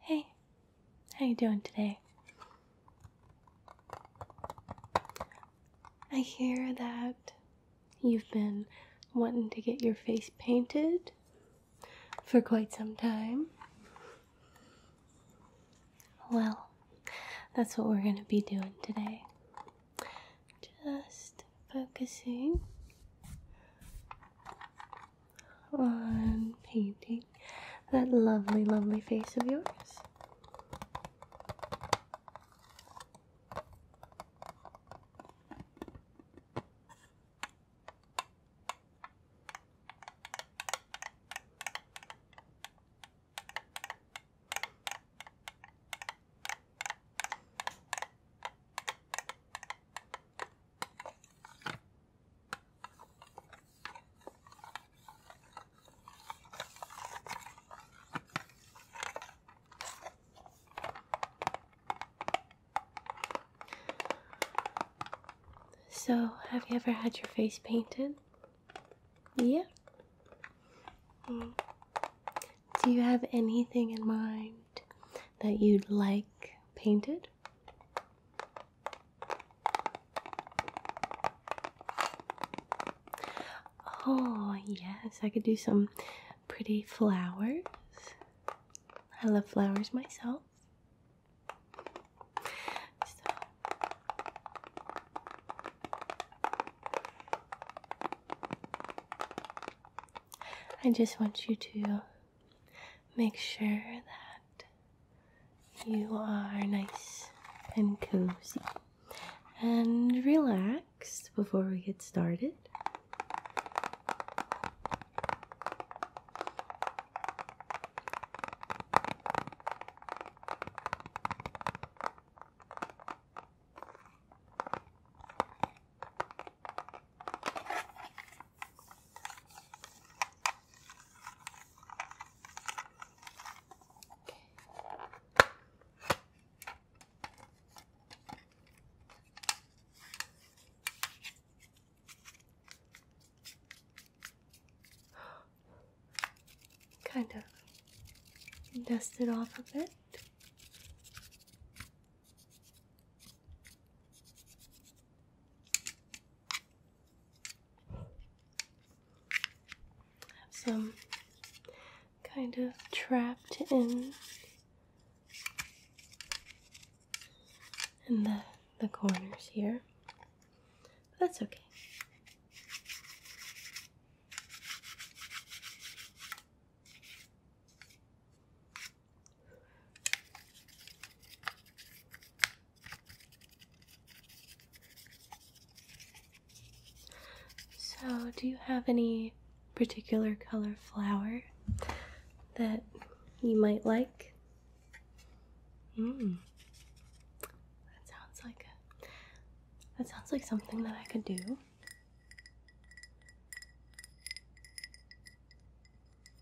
Hey, how you doing today? I hear that you've been wanting to get your face painted for quite some time. Well, that's what we're going to be doing today. Just focusing on painting that lovely, lovely face of yours. So, have you ever had your face painted? Yeah. Mm. Do you have anything in mind that you'd like painted? Oh, yes, I could do some pretty flowers. I love flowers myself. I just want you to make sure that you are nice and cozy and relaxed before we get started. Kind of dust it off a bit. Have some kind of trapped in in the the corners here. that's okay. So, do you have any particular color flower that you might like? Mmm. That sounds like that sounds like something that I could do.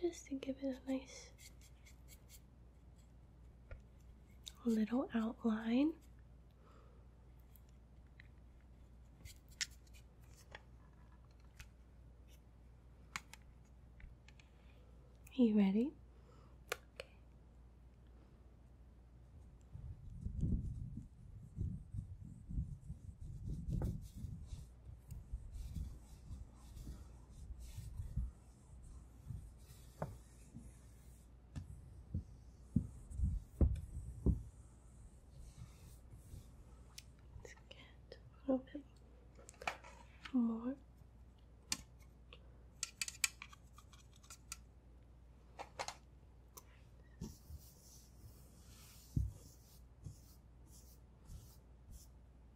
just to give it a nice little outline. Are you ready? Let's get a little bit more.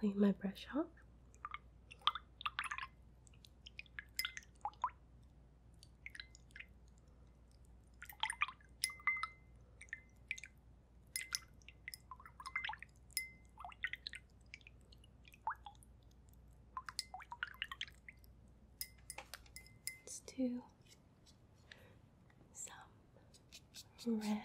Clean my brush off. Let's do some red.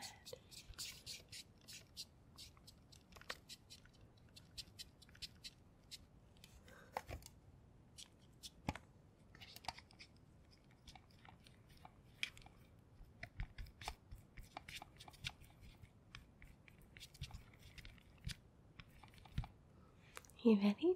You ready? Okay.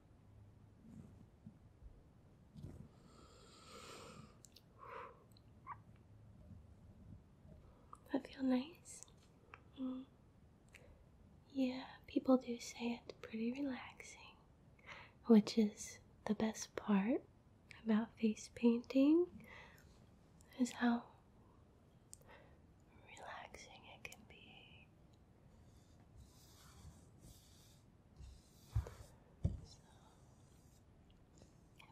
That feel nice? Mm. Yeah, people do say it's pretty relaxing, which is the best part about face painting is how relaxing it can be.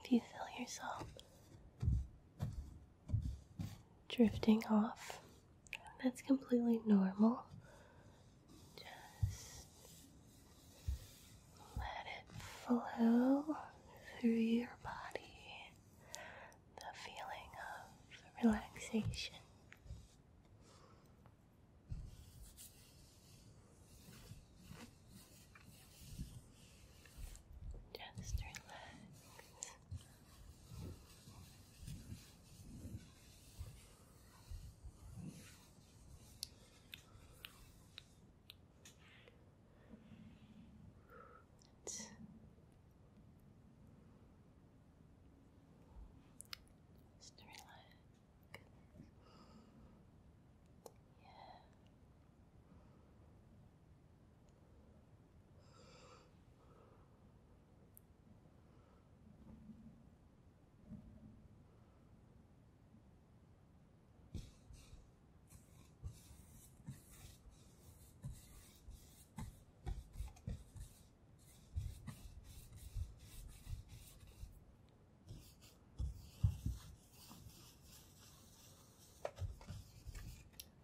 if you feel yourself drifting off, that's completely normal. Just let it flow through your body the feeling of relaxation. Just relax. Just relax. Yeah.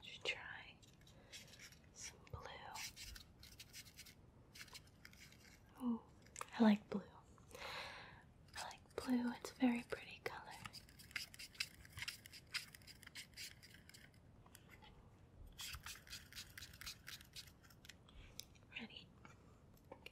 Should try some blue. Oh, I like blue. I like blue. It's a very pretty color. Ready? Okay.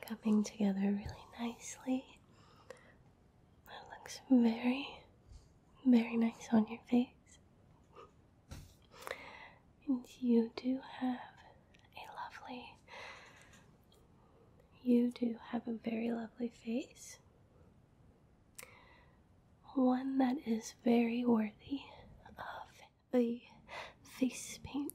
coming together really nicely. That looks very, very nice on your face. And you do have a lovely, you do have a very lovely face. One that is very worthy of a face paint.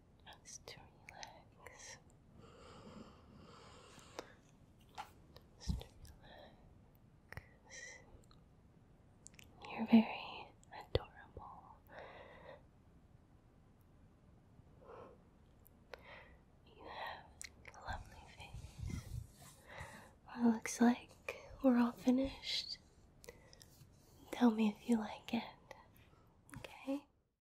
just to relax, just to relax. You're very adorable. You have a lovely face. it looks like we're all finished. Tell me if you like it. Okay?